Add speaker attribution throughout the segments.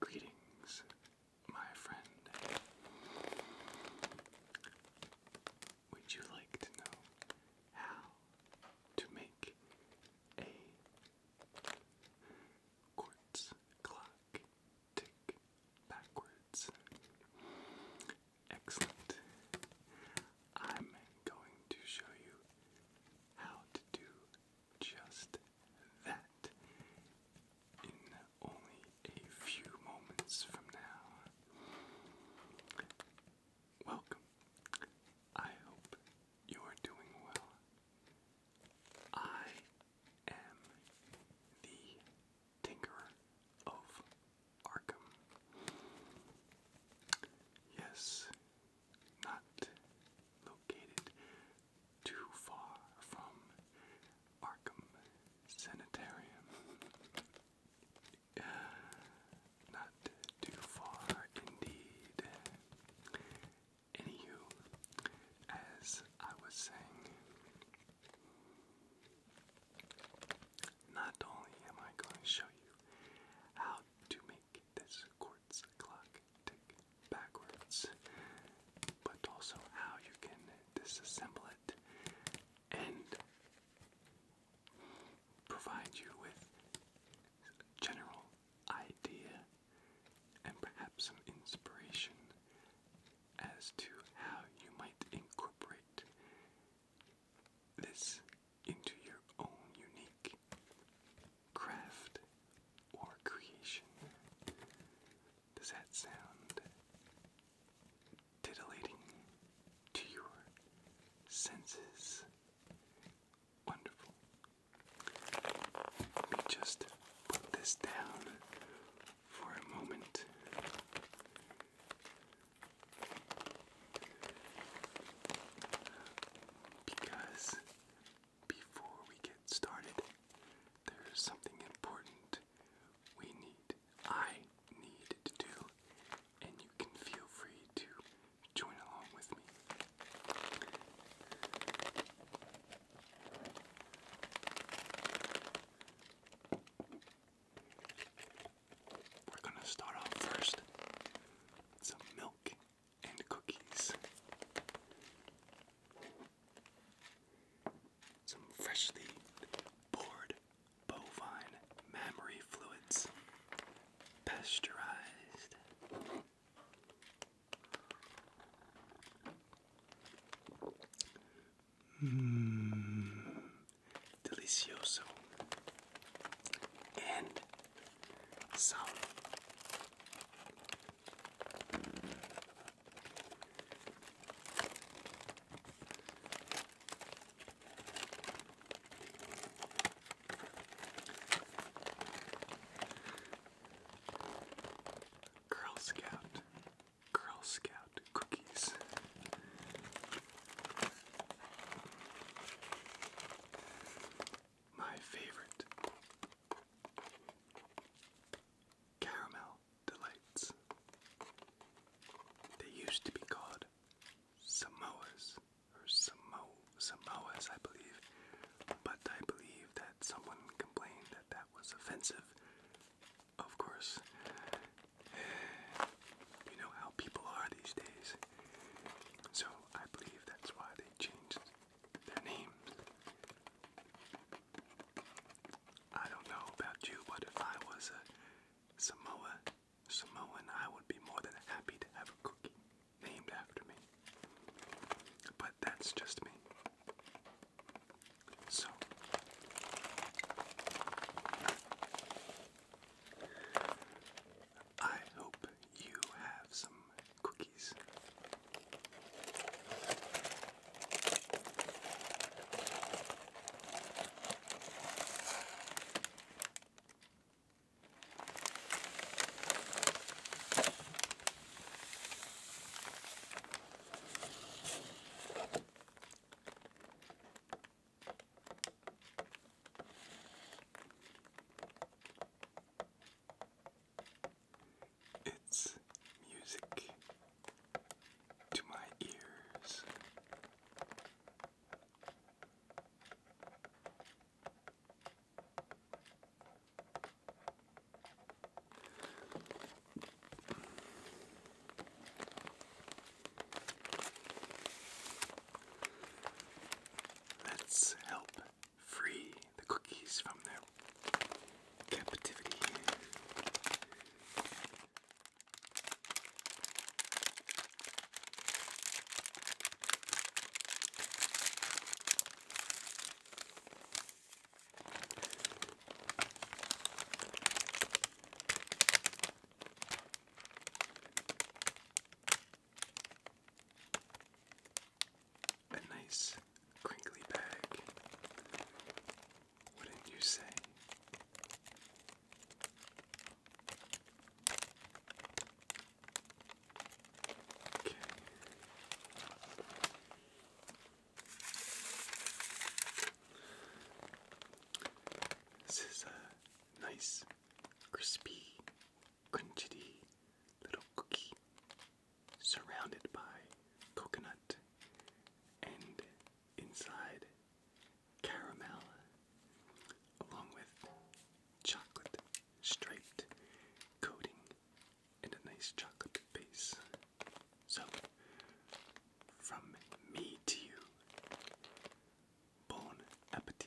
Speaker 1: Greetings, my friend. Would you like to know how to make a Quartz tick backwards. Excellent. I'm going to show you how to do just that in only a few moments from now. Welcome. I hope you're doing well. I am the Tinkerer of Arkham. Yes, not located too far from Arkham Sanitarium. Not too far indeed. Anywho, as I was saying, not only am I going to show you how to make this quartz clock tick backwards, but also how you can disassemble it and provide you with general idea and perhaps some inspiration as to how you might incorporate this into your own unique craft or creation. Does that sound titillating to your senses? Wonderful. Let me just put this down for a moment. Because before we get started, there's something important we need, I need to do, and you can feel free to join along with me. We're going to start off first with some milk and cookies. Some freshly poured bovine mammary fluids, pasteurized. Mmm, delicioso and sour. Girl Scout, Girl Scout cookies. My favorite caramel delights. They used to be called Samoas or Samo Samoas, I believe, but I believe that someone complained that that was offensive. Of course. You know how people are these days. So I believe that's why they changed their names. I don't know about you, but if I was a Samoa Samoan, I would be more than happy to have a cookie named after me. But that's just me. So, I hope you have some cookies. It's music to my ears. Let's help free the cookies from their captivity. A nice crinkly bag, wouldn't you say? Okay. This is a nice, crispy, crunchy little cookie surrounded by coconut and inside caramel along with chocolate striped coating and a nice chocolate base. So, from me to you, bon appetit.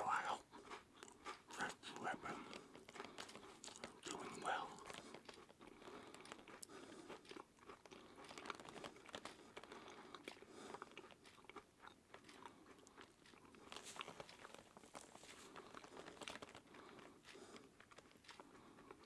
Speaker 1: Wow, that's Weber doing well.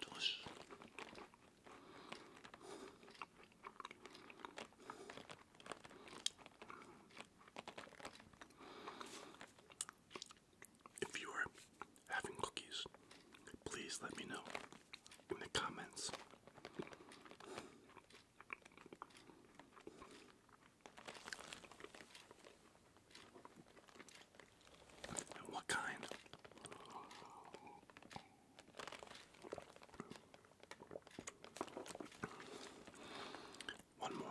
Speaker 1: Delicious. If you are having cookies, please let me know in the comments. And what kind? One more.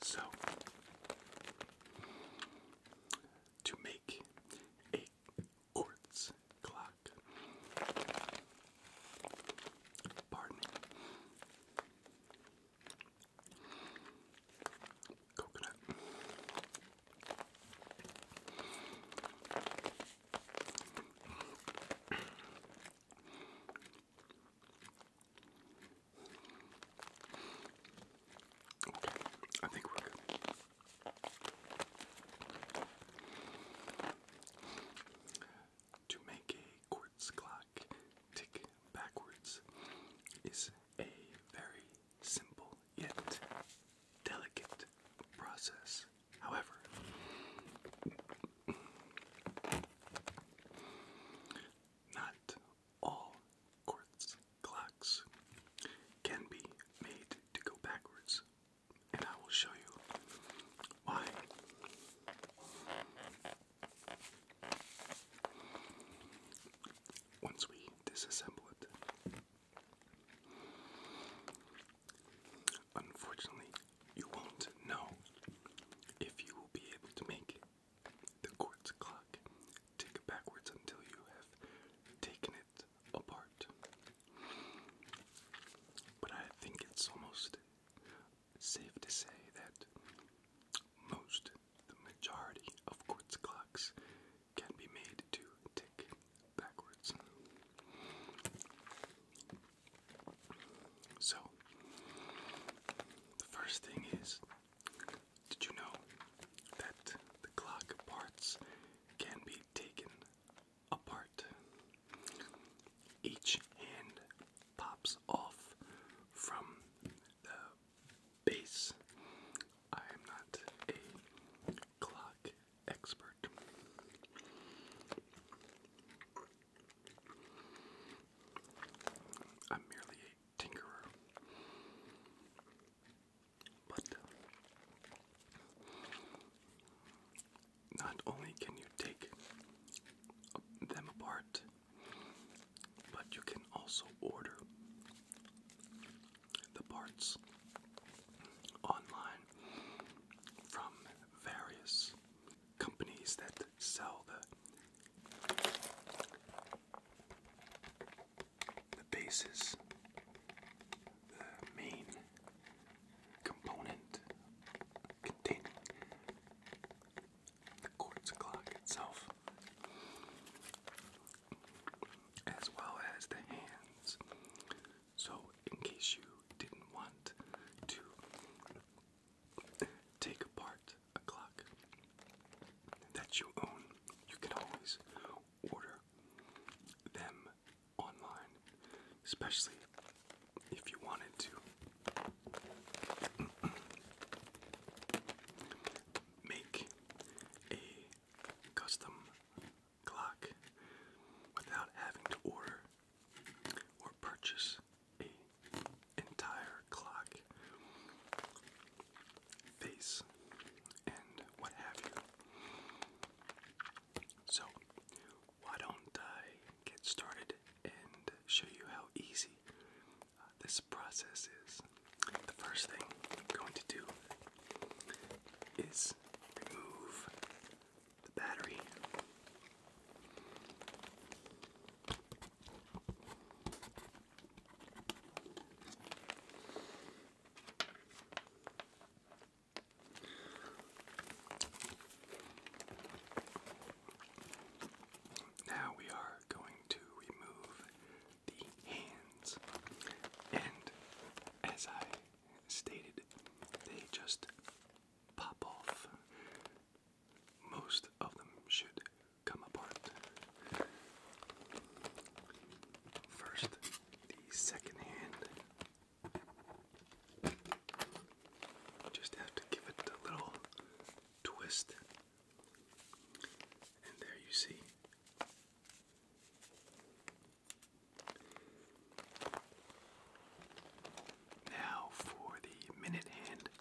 Speaker 1: So, to make a quartz clock, pardon me, coconut. Okay, I think we're good. To make a quartz clock tick backwards is a very simple yet delicate process. However, not all quartz clocks can be made to go backwards, and I will show you why. Once we disassemble it, unfortunately, you won't know if you will be able to make the quartz clock tick backwards until you have taken it apart. But I think it's almost safe to say that most, the majority of quartz clocks can be made to tick backwards. So, the first thing is did you know that the clock parts can be taken apart? Each hand pops off from the base. I am not a clock expert. I'm merely a tinkerer. But uh, not only can you take them apart, but you can also order the parts online from various companies that sell the the bases, the main component containing the quartz clock itself, as well as the hands. So, in case you didn't want to Take apart a clock that you own. You can always order them online, especially if you wanted to. Make a custom clock without having to order or purchase a entire clock face and what have you. So why don't I get started and show you how easy uh, this process is. The first thing I'm going to do is remove the battery. Now we are going to remove the hands, and as I stated, they just pop off most of them should come apart. First, the second hand. Just have to give it a little twist. And there you see. Now for the minute hand.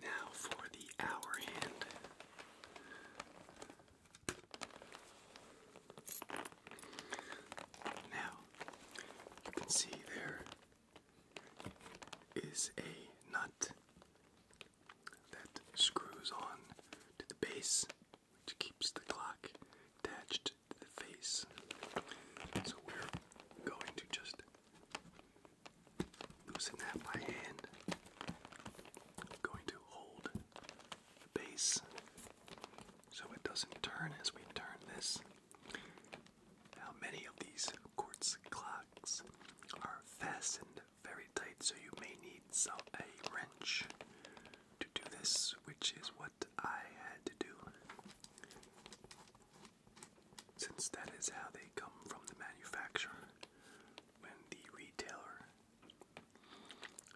Speaker 1: Now for the hour hand. Now, you can see there is a nut that screws on to the base, which keeps the clock attached to the face. So we're going to just loosen that by hand. I'm going to hold the base so it doesn't turn as we turn this. How many of these quartz clocks are fastened very tight, so you may need some, a wrench to do this, which is what I had to do. Since that is how they come from the manufacturer, when the retailer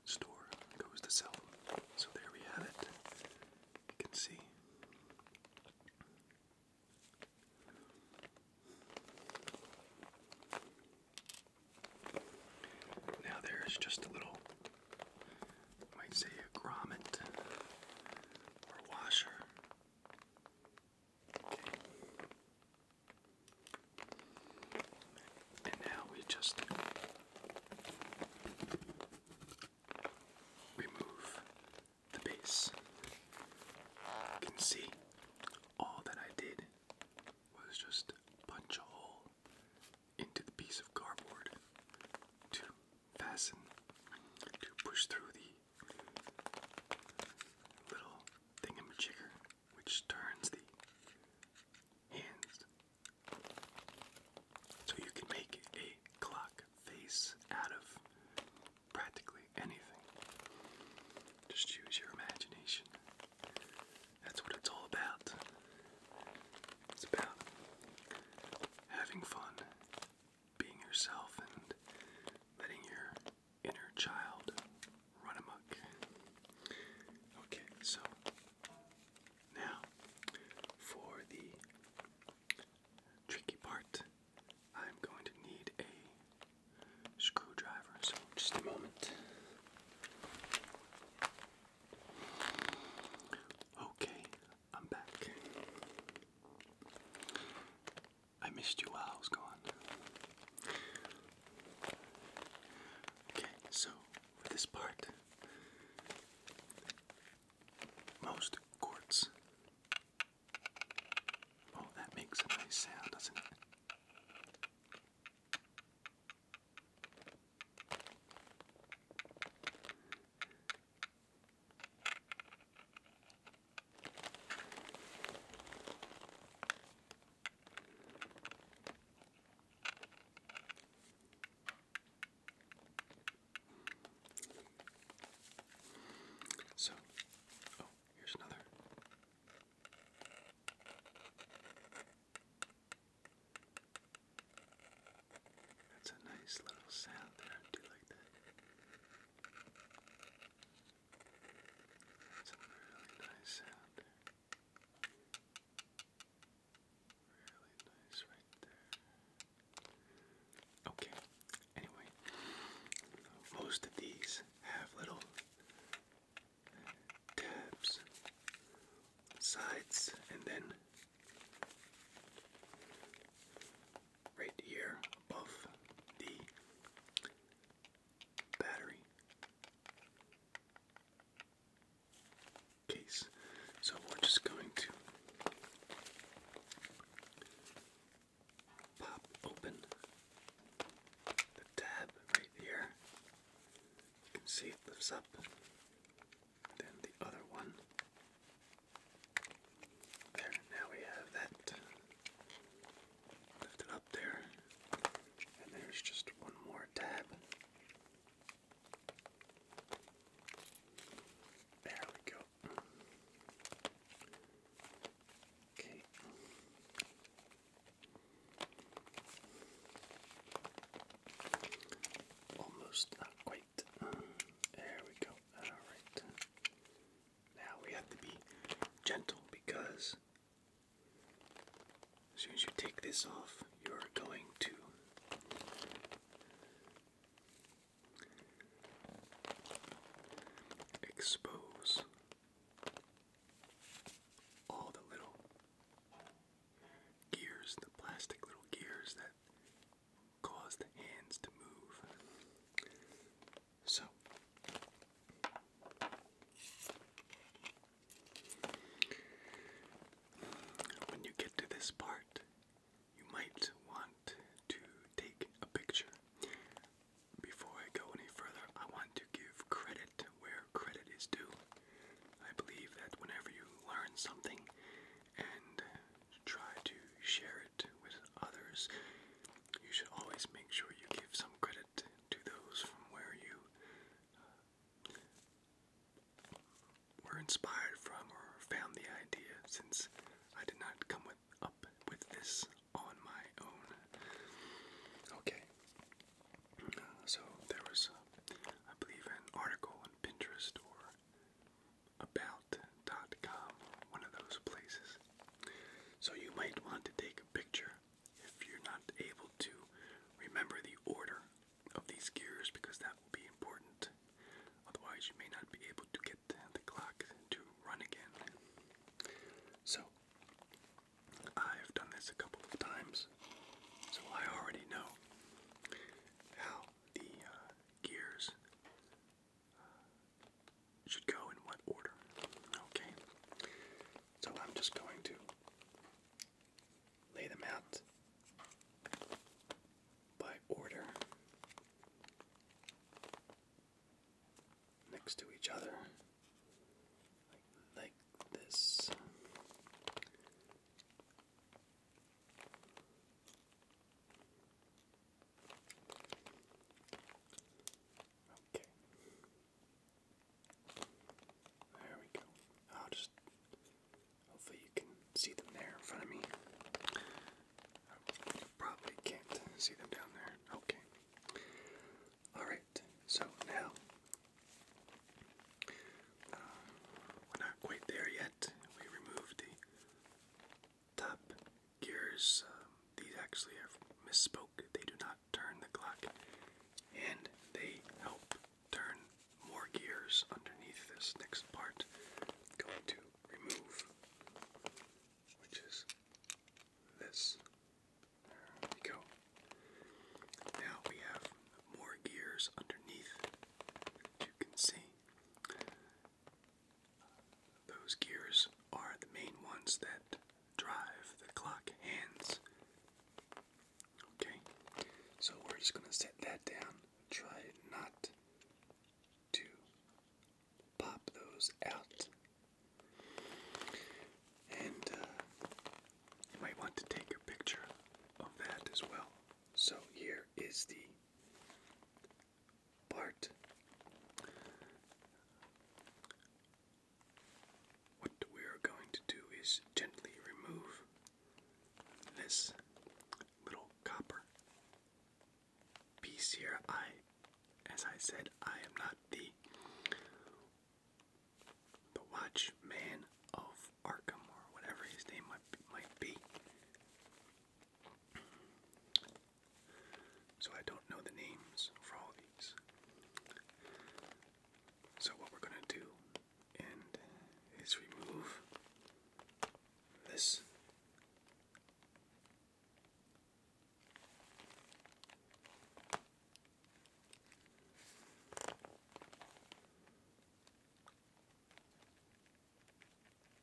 Speaker 1: store goes to sell them. So there we have it. You can see. Now there's just a little, might say a grommet or washer. Okay. And now we just remove the base. You can see all that I did was just punch a hole into the piece of cardboard to fasten, to push through the little thingamajigger which turns the hands so you can make a clock face out of practically anything. Just use your imagination. That's what it's all about. It's about having fun, being yourself, and letting your inner child run amok. Okay, so now, for the tricky part, I'm going to need a screwdriver. So, just a moment. Okay, I'm back. I missed you while I was gone. Okay, so this part, most quartz. Oh, that makes a nice sound, doesn't it? So, oh, here's another. That's a nice little sound I do like that. That's a really nice sound. There. Really nice right there. Okay, anyway, most of these have little tabs, sides, and then right here above the battery case. So we're just going to pop open the tab right here. You can see it lifts up. Then the other one. There, now we have that uh, lifted up there. And there's just one more tab. There we go. Okay. Almost not quite. There we go. Alright. Now we have to be gentle because as soon as you take this off, you're going to expose all the little gears, the plastic little gears that cause the hands to move. So, when you get to this part, you might want to take a picture. Before I go any further, I want to give credit where credit is due. I believe that whenever you learn something and try to share it with others, you should always make sure you give some credit to those from where you uh, were inspired from or found the idea since I did not come up with this on my own. Okay. so there was, I believe, an article on Pinterest or about.com, one of those places. So you might want to take a picture if you're not able to remember the order of these gears because that will be important. Otherwise, you may not be able to get the clock to run again. So, I've done this a couple of times, so I already know how the uh, gears uh, should go in what order. Okay, so I'm just going to lay them out by order next to each other like, this. Okay. There we go. I'll just Hopefully you can see them there in front of me. probably can't see them down there. Okay. Alright, so now, uh, we're not quite there yet. We removed the top gears. Um, these actually have misspoke. They do not turn the clock, and they help turn more gears underneath this next part. Going to remove, which is this. There we go. Now we have more gears underneath, you can see. Those gears are the main ones that drive the clock hands. Okay, so we're just going to set that down try not to pop those out. And uh, you might want to take a picture of that as well. So here is the part. What we're going to do is gently remove this little copper piece here. I, as I said, I am not the the Watchman of Arkham or whatever his name might might be. So I don't know the names for all these. So what we're gonna do and is remove this.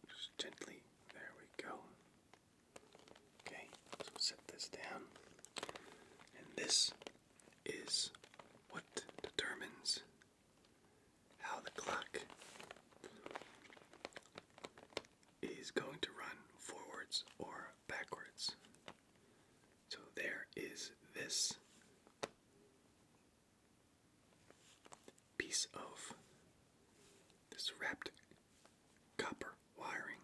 Speaker 1: Just gently, there we go. Okay, so set this down, and this is what determines how the clock is going to run forwards or backwards. So there is this piece of this wrapped copper wiring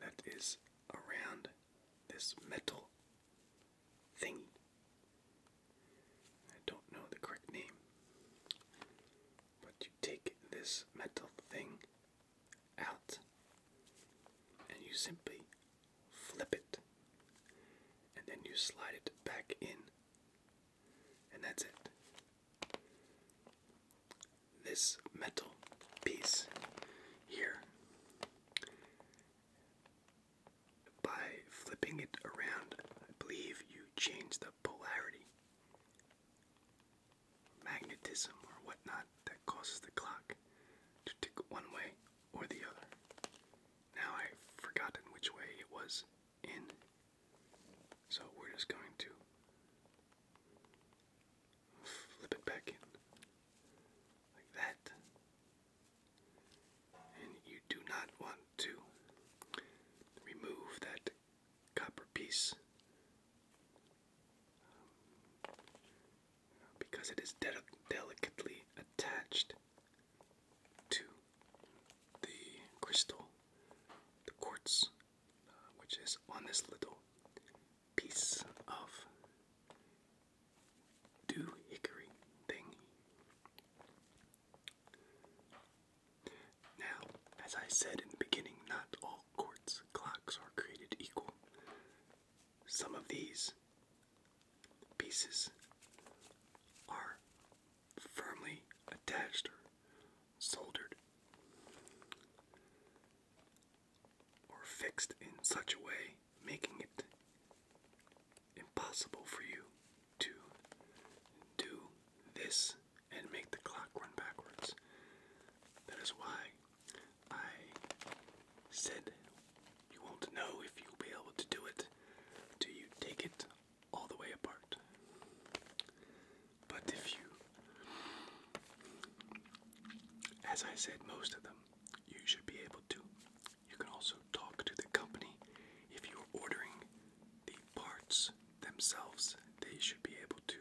Speaker 1: that is around this metal thingy. I don't know the correct name. But you take this metal thing out and you simply flip it and then you slide it back in and that's it. This metal piece here by flipping it around, I believe you change the polarity, magnetism, or whatnot that causes the clock to tick one way or the other. Now I've forgotten which way it was in, so we're just going to flip it back in like that. And you do not want to remove that copper piece um, because it is delicately attached to the crystal, the quartz, uh, which is on this little piece of do hickory thing. Now, as I said in the beginning, not all quartz clocks are created equal. Some of these pieces are firmly attached soldered or fixed in such a way making it impossible for you to do this and make the clock run backwards. That is why I said you won't know if you'll be able to do it till you take it all the way apart. But if you, as I said, most of them, you should be able to you can also talk to the company if you're ordering the parts themselves. They should be able to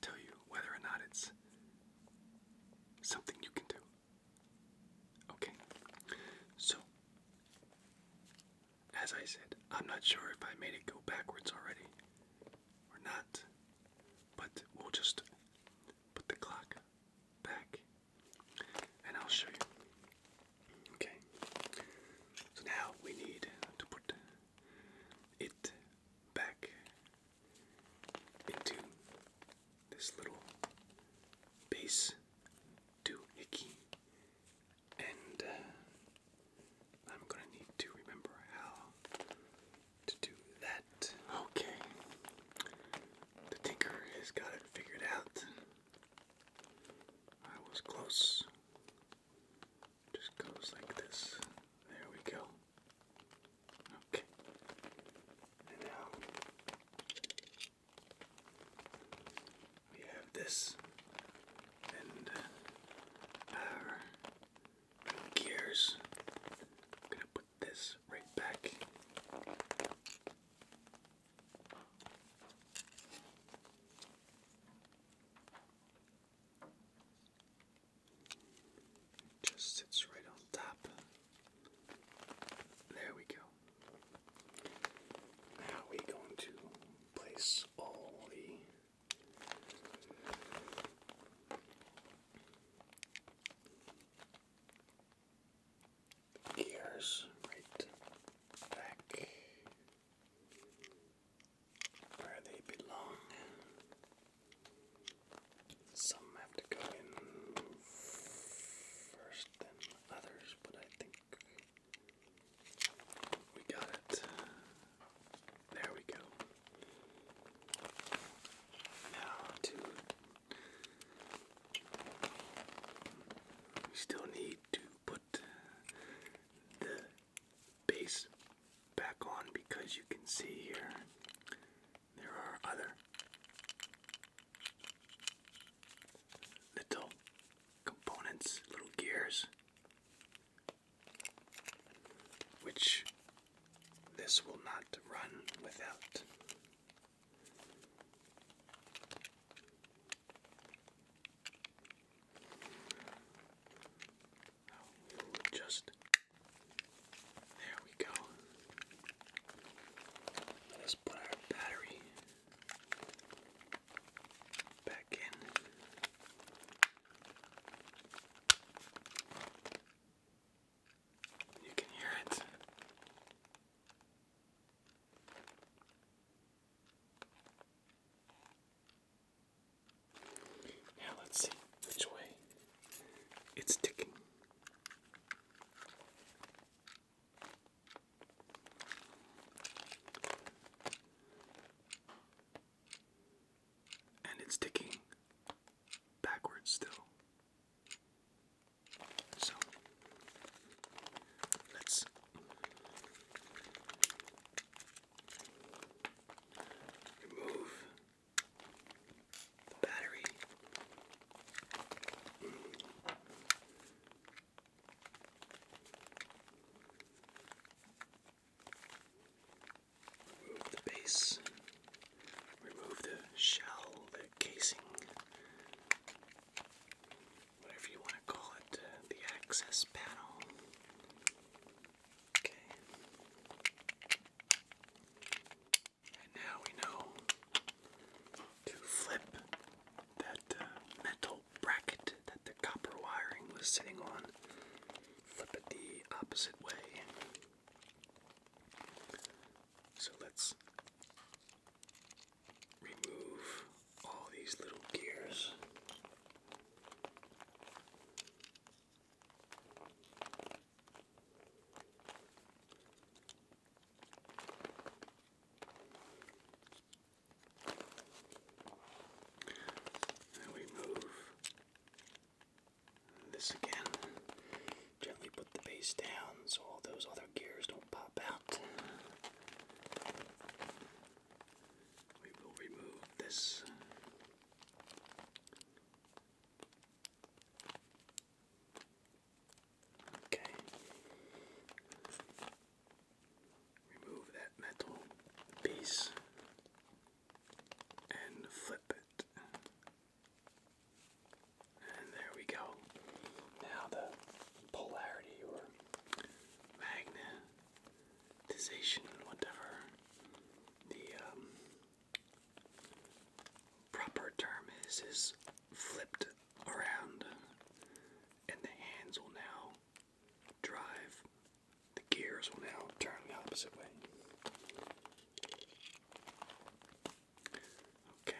Speaker 1: tell you whether or not it's something you can do. Okay, so as I said, I'm not sure if I made it go backwards already or not, but we'll just put the clock back and I'll show you. Okay, so now we need to put it back into this little base doohickey, and uh, I'm gonna need to remember how to do that. Okay, the tinker has got it figured out. I was close. Just goes like this. There we go. Okay. And now we have this and uh, our gears this right back. Just sits right on top. There we go. Now we're going to place all the Gears, right back where they belong. Some have to go in first than others, but I think we got it. There we go. Now to we still need to put the base back on because you can see here there are other little components, little gears, which this will not run without. Oh, just there we go. Let's put our battery back in. You can hear it. Now let's see which way it's ticking. And it's ticking backwards still. So let's remove the battery. Remove the base, remove the shell, the casing, whatever you want to call it, uh, the access panel. Okay. And now we know to flip that uh, metal bracket that the copper wiring was sitting on, flip it the opposite way. So let's remove all these little gears. And we move this again Gently put the base down so all those other gears don't pop out. We will remove this. Okay. Remove that metal piece and flip it. And there we go. Now the polarity or magnetization, whatever the um, proper term is, is flipped around, and the hands will now drive, the gears will now turn the opposite way. Okay.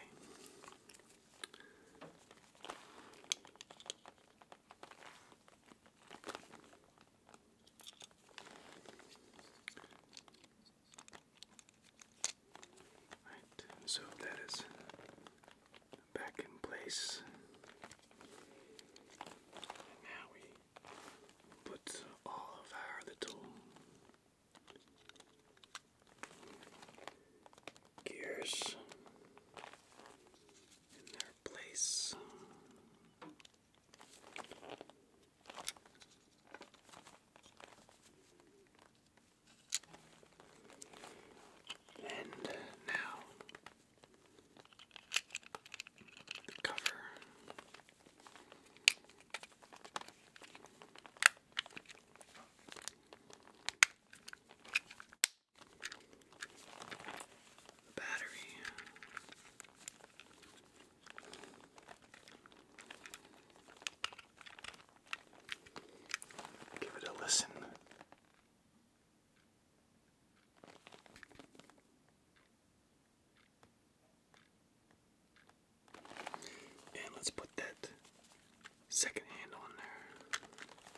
Speaker 1: Right, so that is back in place. now we put all of our little gears in their place. And now the cover. Battery. Give it a listen. And let's put that second hand on there.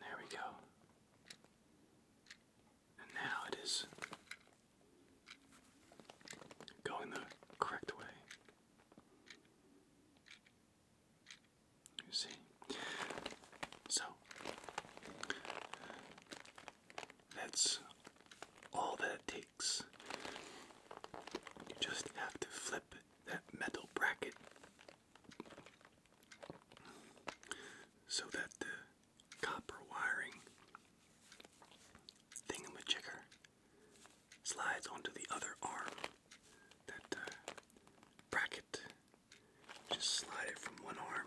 Speaker 1: There we go. And now it is going the correct way. You see? So, that's all that it takes. You just have to flip that metal bracket so that the copper wiring thingamajigger slides onto the other arm. That uh, bracket, just slide it from one arm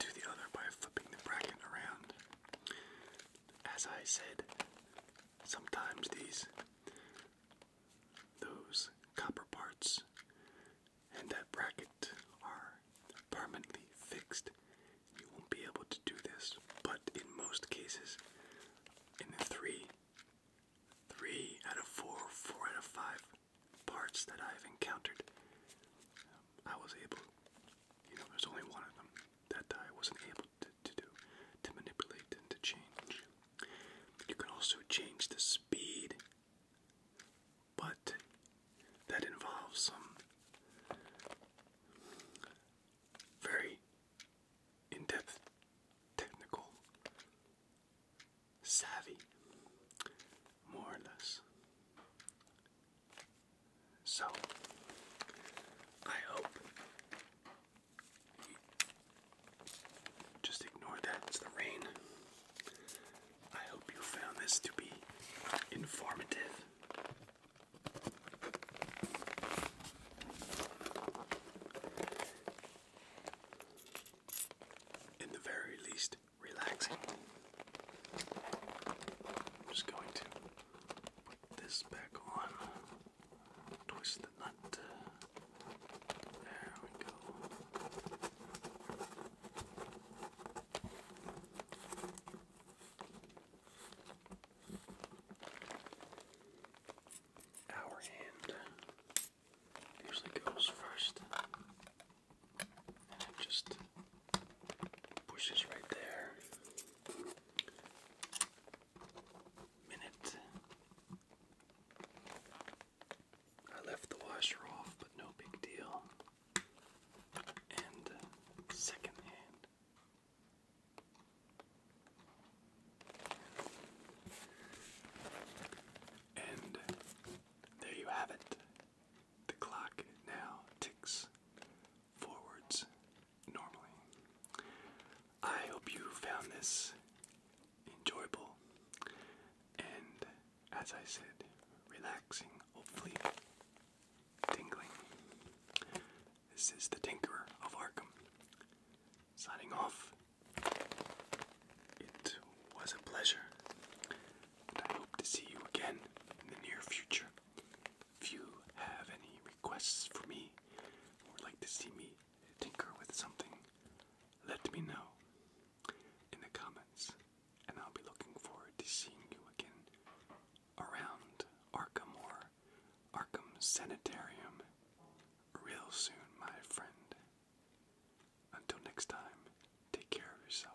Speaker 1: to the other by flipping the bracket around as I said, sometimes these those copper parts and that bracket are permanently fixed. You won't be able to do this, but in most cases, in three, three out of four, four out of five parts that I've encountered, um, I was able. You know, there's only one of them that I wasn't able to, do, to manipulate and to change. You can also change the speed, but that involves some very in depth technical savvy, more or less. So, I hope just ignore that, it's the rain. I hope you found this to be informative. In the very least, relaxing. I'm just going to this back on. Twist the nut. There we go. Our hand usually goes first, and it just Bushes right there. Minute. I left the washer off, but no big deal. And second hand. And there you have it. The clock now ticks forwards normally. I hope you found this enjoyable and, as I said, relaxing, hopefully tingling. This is the Tinkerer of Arkham. Signing off. It was a pleasure, and I hope to see you again in the near future. If you have any requests for me or would like to see me tinker with something, let me know in the comments, and I'll be looking forward to seeing you again around Arkham or Arkham Sanitarium real soon, my friend. Until next time, take care of yourself